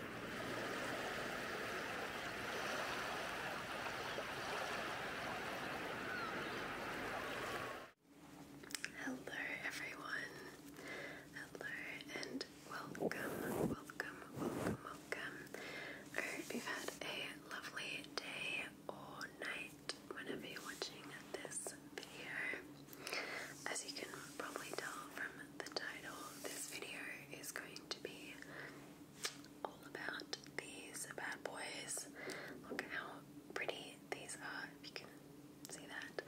Hello, everyone. Hello, and welcome, welcome, welcome, welcome. I hope you've had a lovely day or night you're watching this video. As you can probably tell from the title of this video is going to be all about these bad boys. Look how pretty these are, if you can see that.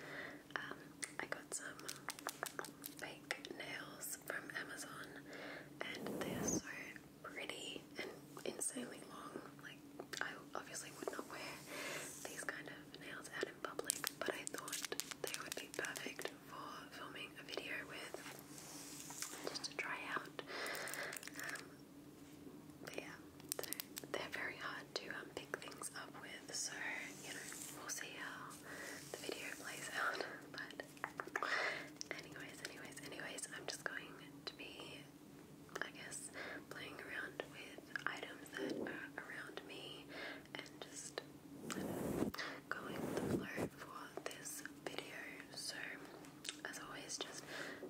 Um, I got some fake nails from Amazon and they're so pretty and insanely long. Like, I obviously would not wear these kind of nails out in public, but I thought they would be perfect for filming a video with just to try out. Um, yeah, they they're very hard to um, pick things up with, so you know, we'll see how the video plays out. But, anyways, anyways, anyways, I'm just going to be, I guess, playing around with items that are around me and just going to flirt for this video. So, as always, just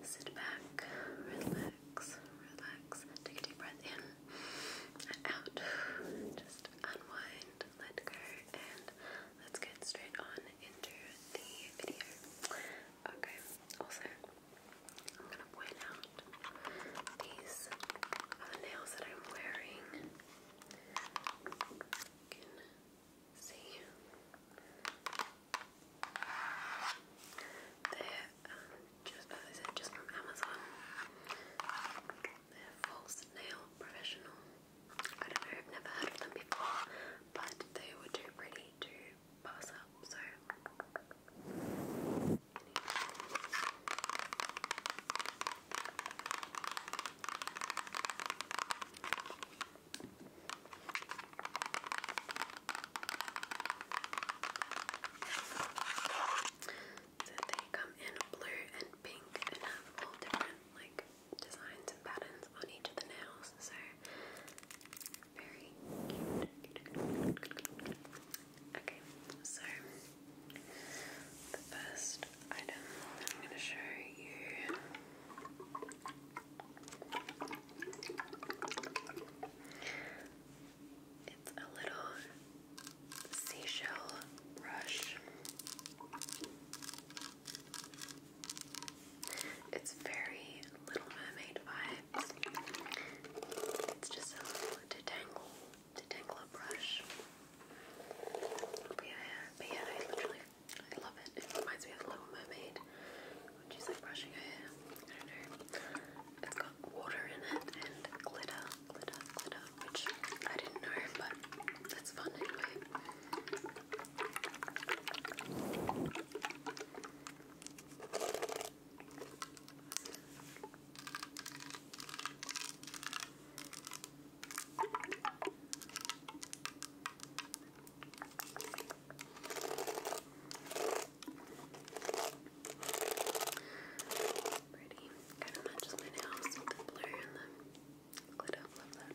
sit back, relax, relax, take a deep breath in and out. Just unwind, let go, and let's get straight on into the video. Okay, also, I'm gonna point out these are uh, the nails that I'm wearing. You see they just as I said, just from Amazon. They're false nail professional. I don't know, I've never heard of them before, but they were too pretty to pass up. So. So they come in blue and pink and have all different like designs and patterns on each of the nails. So very cute. Okay, so the first item I'm going to show you it's a little seashell brush. It's very Little Mermaid vibes. It's just a little detangle detangle brush yeah, I literally love it. It reminds me of Little Mermaid when she's like brushing her hair. I don't know. It's got water in it and glitter, glitter, glitter, which I didn't know, but it's fun anyway. Pretty. Kind of matches my nails with the blur and the glitter. Love that.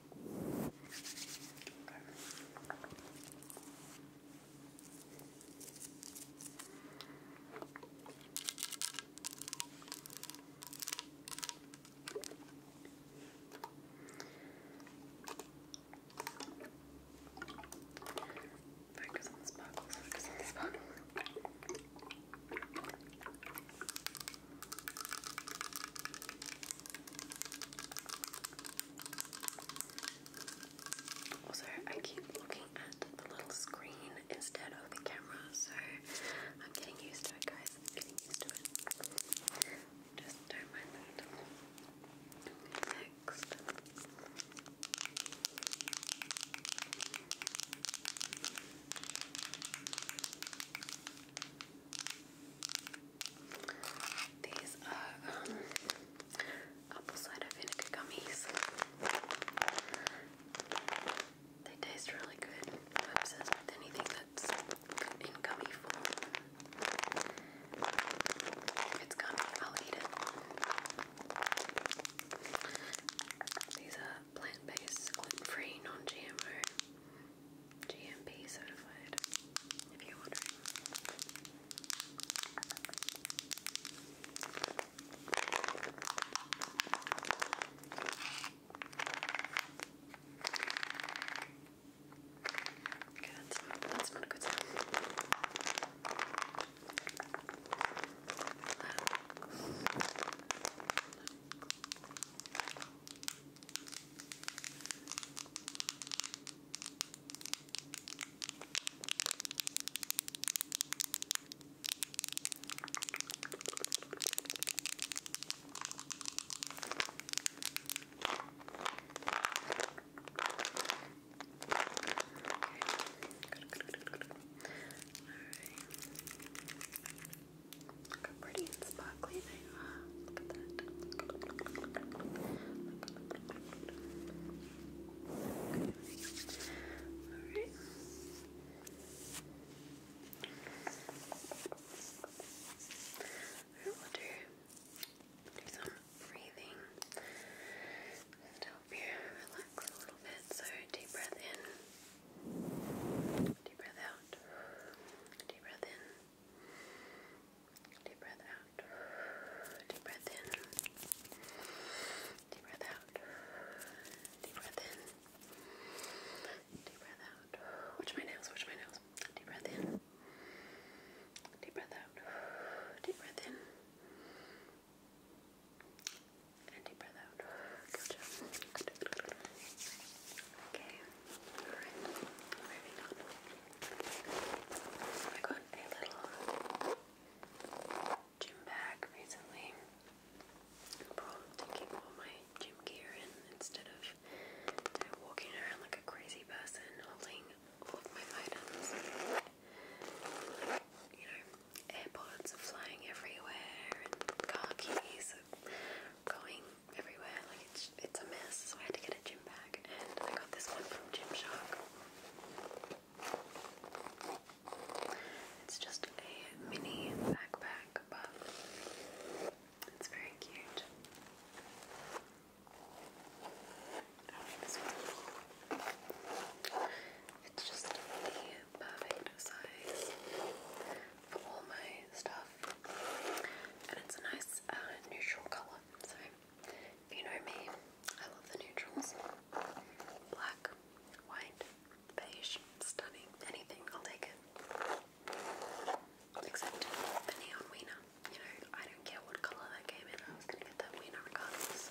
Focus on the sparkles, focus on the sparkles. Also, I keep looking at the little screen instead of the camera, so I'm getting used to it, guys. getting used to it. Just don't mind that. Next. These are um, apple cider vinegar gummies. They taste really good. I'm obsessed with anything that's in gummy form. If it's gummy, I'll eat it. These are plant-based, gluten-free, non-GMO. GMP certified, if you're wondering. Okay, that's that's not good sound. Good, good, good, good. All right. Look how pretty and sparkly Alright. I will do, some breathing to help you relax a little bit. So, deep breath in, deep breath out, deep breath in, Deep breath out. Deep breath in. Deep breath out. Deep breath in. Deep breath out. Watch my nose, watch my nose. Deep breath in. Deep breath out. Deep breath in. And deep breath out. Good job. Okay. Alright, I got a little gym bag recently. I'm taking all my gym gear in instead of walking around like a crazy person holding all my items. You know, AirPods are flying everywhere and car keys are going everywhere. Like it's it's a mess, so I had to get a gym bag, and I got this one from Gymshark. It's just a mini backpack, but it's very cute. It's just the perfect size for all my stuff, and it's a nice uh, neutral color. So, if you know me, I love the neutrals. Black, white, beige, stunning, anything, I'll take it. Except the neon wiener. You know, I don't care what colour that came in, I was gonna get that wiener regardless.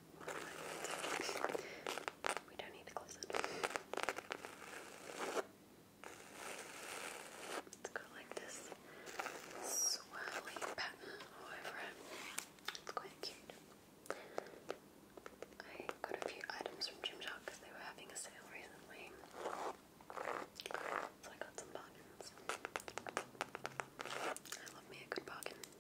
We don't need to close it. It's got like this swirly pattern all It's quite cute. I got a few items from Gymshark because they were having a sale recently. So I got some bargains. I love me a good bargain.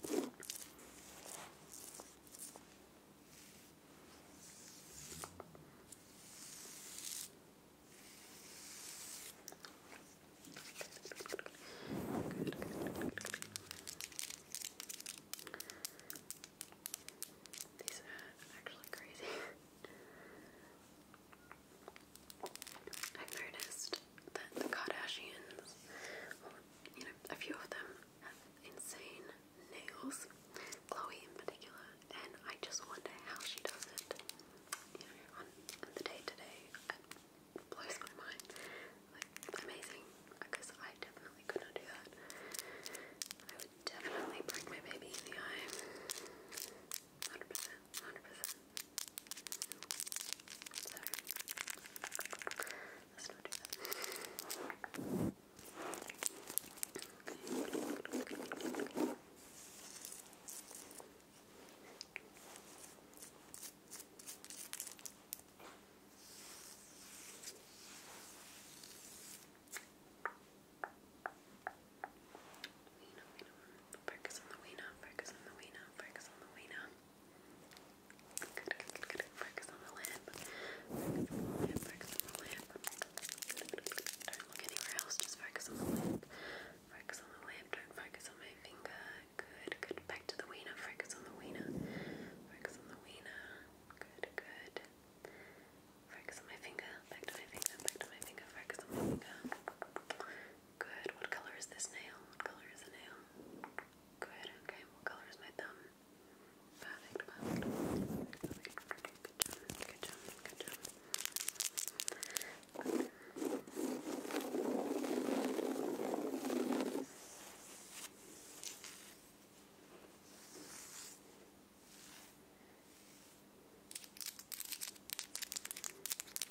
Good, good, good. These are actually crazy. I've noticed that the Kardashians, you know, a few of them, have insane nails. Chloe in particular, and I just wonder how she does it. You know, on, the day to blows my mind. Like amazing, because I definitely could do that. I would definitely break my baby in the eye. Hundred percent. 100%. let's not do that. focus on the wiener, focus on the wiener, focus on the wiener. Good, Focus on the lip. Don't look anywhere else, just focus on the lip. Focus on the lip, don't focus on my finger. Good, good. Back to the wiener, focus on the wiener. Focus on the wiener. Good, good. Focus on my finger, back to my finger, back to my finger, focus on my finger. Good. What color is this nail? What color is the nail? Good. Okay. What color is my thumb? Perfect. Perfect. Good job. Good job. Good job. I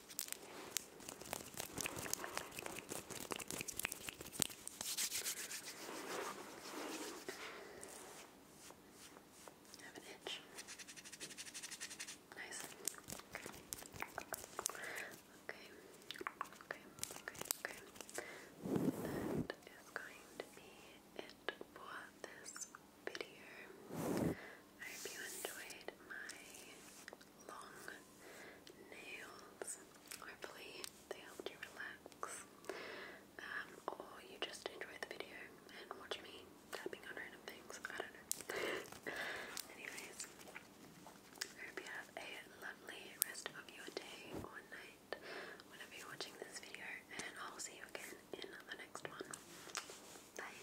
have an itch. Nice. Okay. Okay. Okay. Okay. That is going to be it for this video. I hope you enjoyed my long nails. Hopefully they helped you relax. Um, or you just enjoyed the video and watch me tapping on random things. I don't know. Anyways, I hope you have a lovely rest of your day or night whenever you're watching this video and I'll see you again in the next one. Bye.